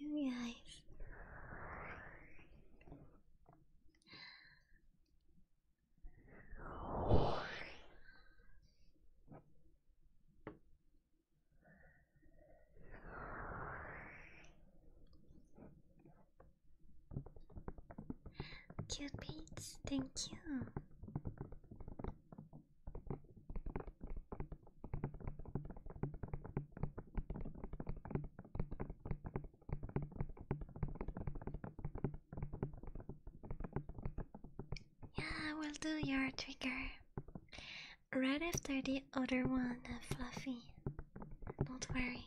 you guys. Cute beats, thank you. Yeah, I will do your trigger right after the other one, Fluffy. Don't worry.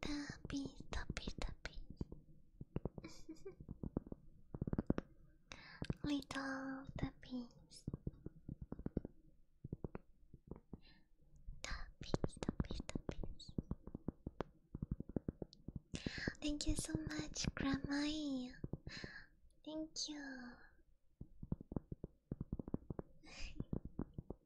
Tappy, tappy, tappy. Little tappies. Tappies, tappies, tappies. Thank you so much, Grandma. Thank you.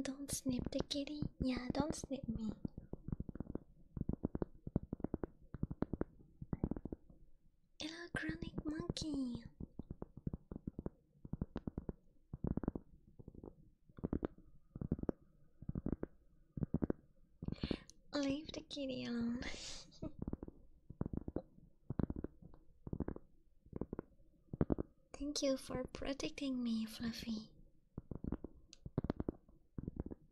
Don't snip the kitty. Yeah, don't snip me. Hello, Chronic Monkey. Leave the kitty alone. Thank you for protecting me, Fluffy.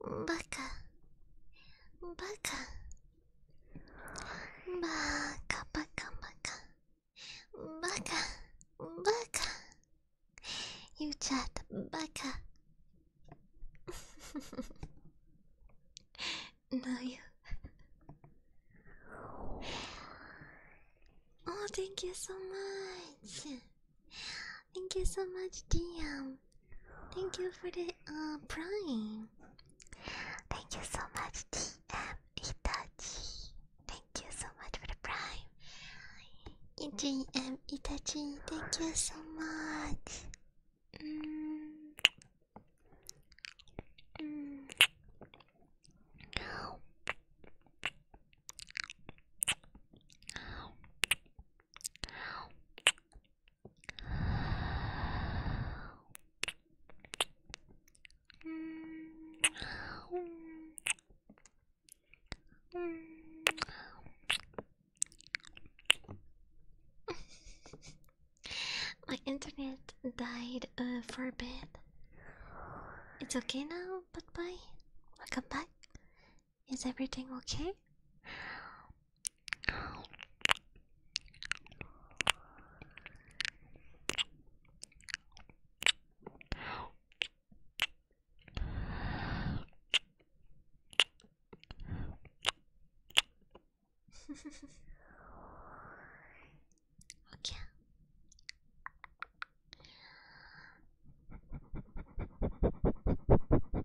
バカバカバカバカバカバカバカ You chat baka No you Oh thank you so much Thank you so much dear Thank you for the uh, prime. Thank you so much, TM Itachi. Thank you so much for the prime. TM Itachi, thank you so much. Mm. Mm. My internet died uh, for a bit. It's okay now, but bye. Welcome back. Is everything okay? okay.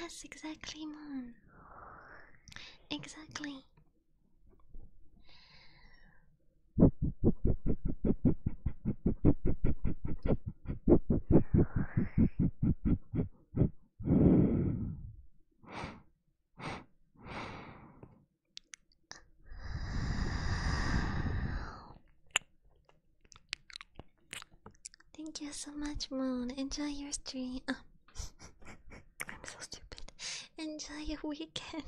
Yes, exactly, Moon. Exactly. Thank you so much, Moon. Enjoy your stream. I'm so stupid. Enjoy your weekend.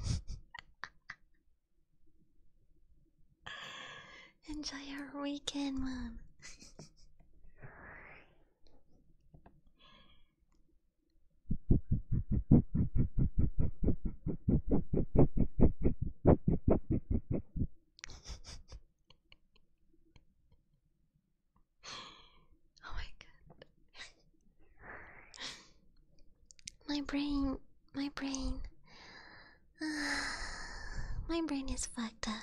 Enjoy your weekend, Moon. oh my god. my brain, my brain. my brain is fucked up.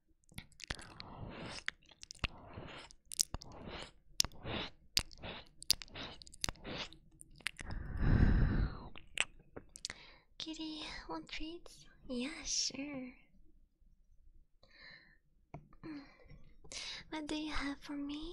Kitty, want treats? Yeah, sure. Mm. What do you have for me?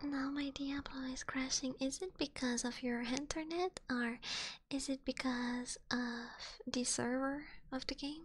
Now my Diablo is crashing. Is it because of your internet or is it because of the server of the game?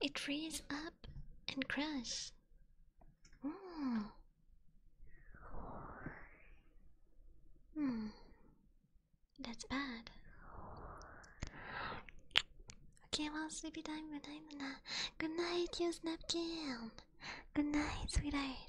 It frees up and crush. Mm. Hmm. That's bad. Okay, well, sleepy time. Good night, Nana. Uh, good night, you snapkin. Good night, sweetheart.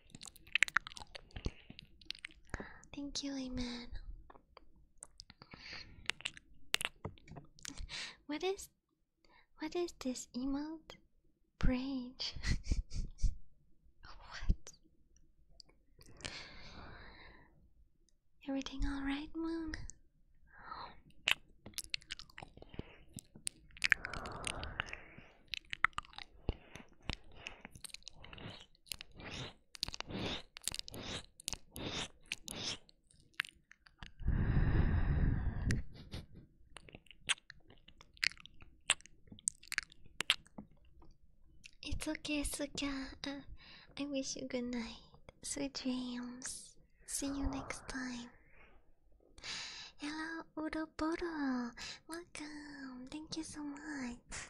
Thank you, Amen. What is what is this emote? Brage. what? Everything all right, Moon? It's okay, Suka. Uh, I wish you good night. Sweet dreams. See you next time. Hello, Udo Bodo. Welcome. Thank you so much.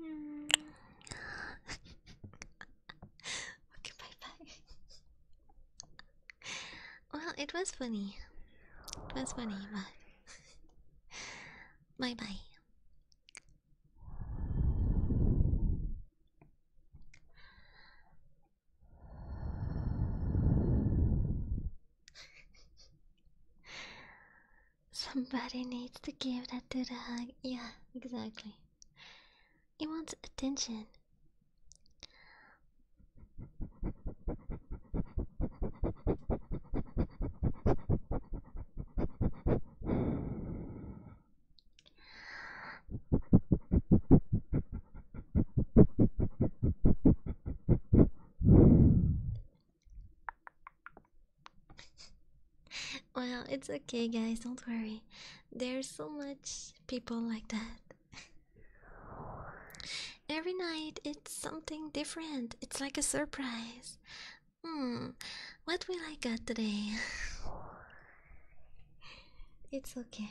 Mm. okay, bye bye. well, it was funny. It was funny, but. bye bye. Somebody needs to give that dude a hug. Yeah, exactly. He wants attention. well, it's okay, guys, don't worry. There's so much people like that. Every night it's something different, it's like a surprise. Hmm, what will I get today? it's okay.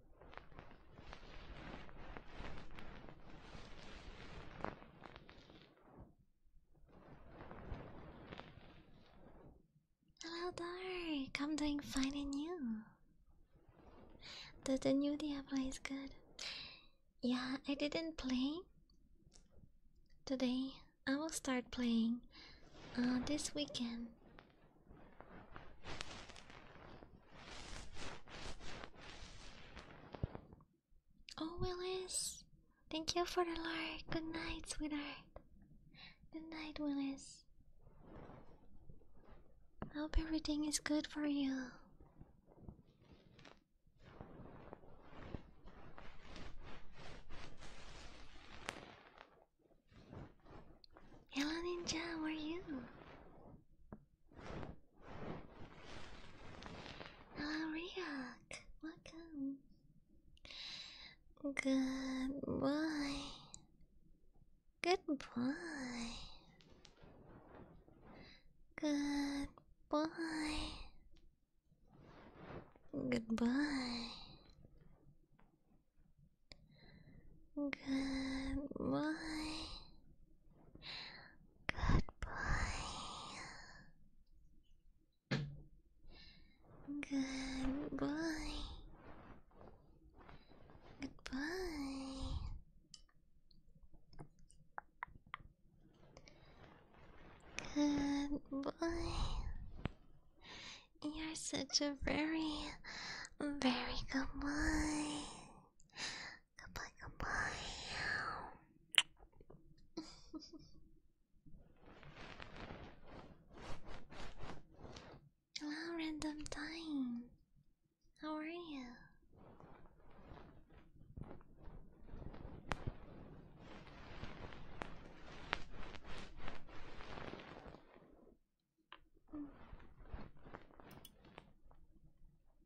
Hello Dark, I'm doing fine and you? The, the new Diablo is good. Yeah, I didn't play today. I will start playing uh, this weekend. Oh, Willis, thank you for the like. Good night, sweetheart. Good night, Willis. I hope everything is good for you. Hello, Ninja, how are you? Ah, React, welcome. Goodbye. Goodbye. Goodbye. Goodbye. Goodbye. Goodbye. Goodbye. Goodbye. Goodbye. You're such a very, very good boy. Goodbye, goodbye. Hello, random time. How are you?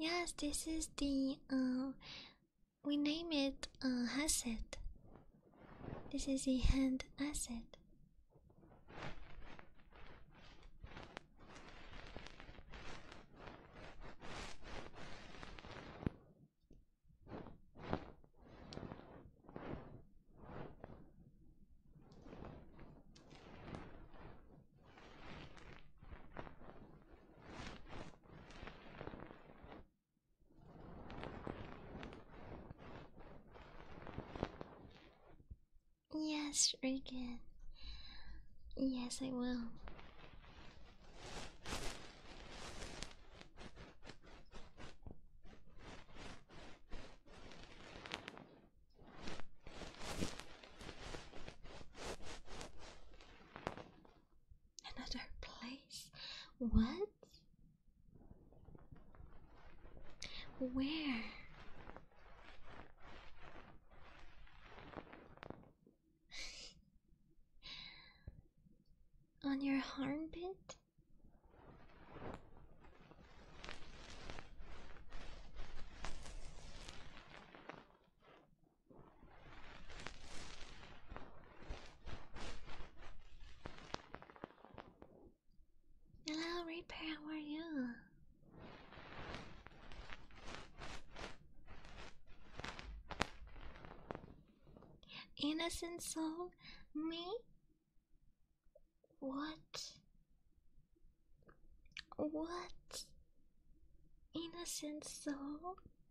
Yes, this is the uh, we name it a asset. This is a hand asset. Yes, Regan. Yes, I will. Another place? What? Where? On your armpit? Hello, Reaper, how are you? Innocent soul? Me? What? What? Innocent soul?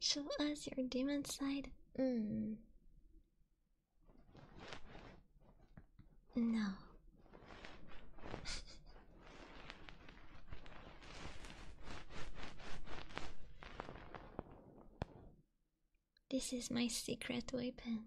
Show us your demon side. Mm. No. This is my secret weapon.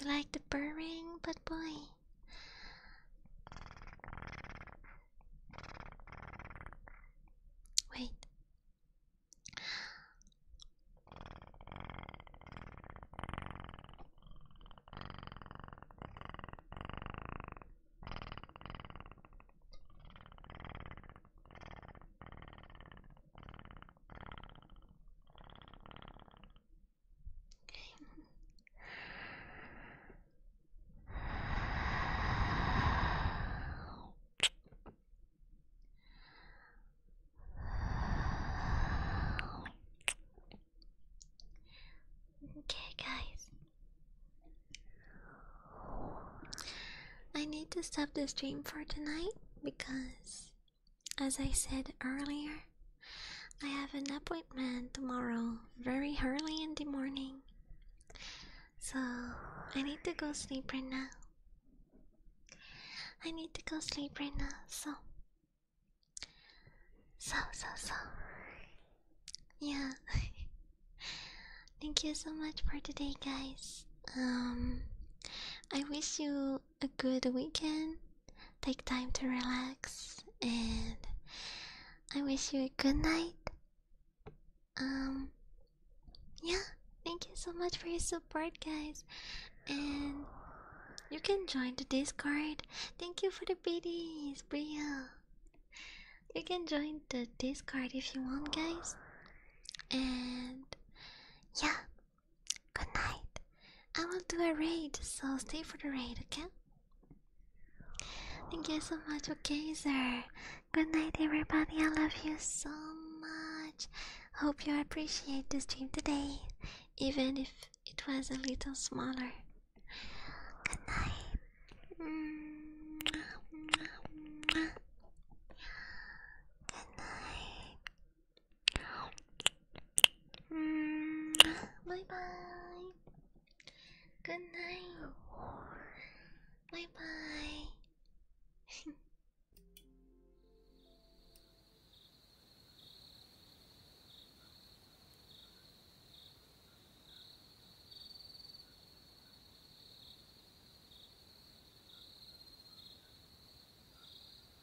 You like the purring, but boy. Wait. Okay, guys. I need to stop the stream for tonight because as I said earlier, I have an appointment tomorrow very early in the morning. So I need to go sleep right now. I need to go sleep right now, so. So, so, so. Yeah. Thank you so much for today, guys. Um, I wish you a good weekend Take time to relax, and I wish you a good night. Um, yeah, thank you so much for your support, guys. And you can join the Discord. Thank you for the biddies, real. You can join the Discord if you want, guys. And yeah, good night. I will do a raid, so stay for the raid, okay? Thank you so much, okay, sir. Good night, everybody. I love you so much. Hope you appreciate this dream today, even if it was a little smaller. Good night. Good night. Mm, bye bye. Good night. Bye bye.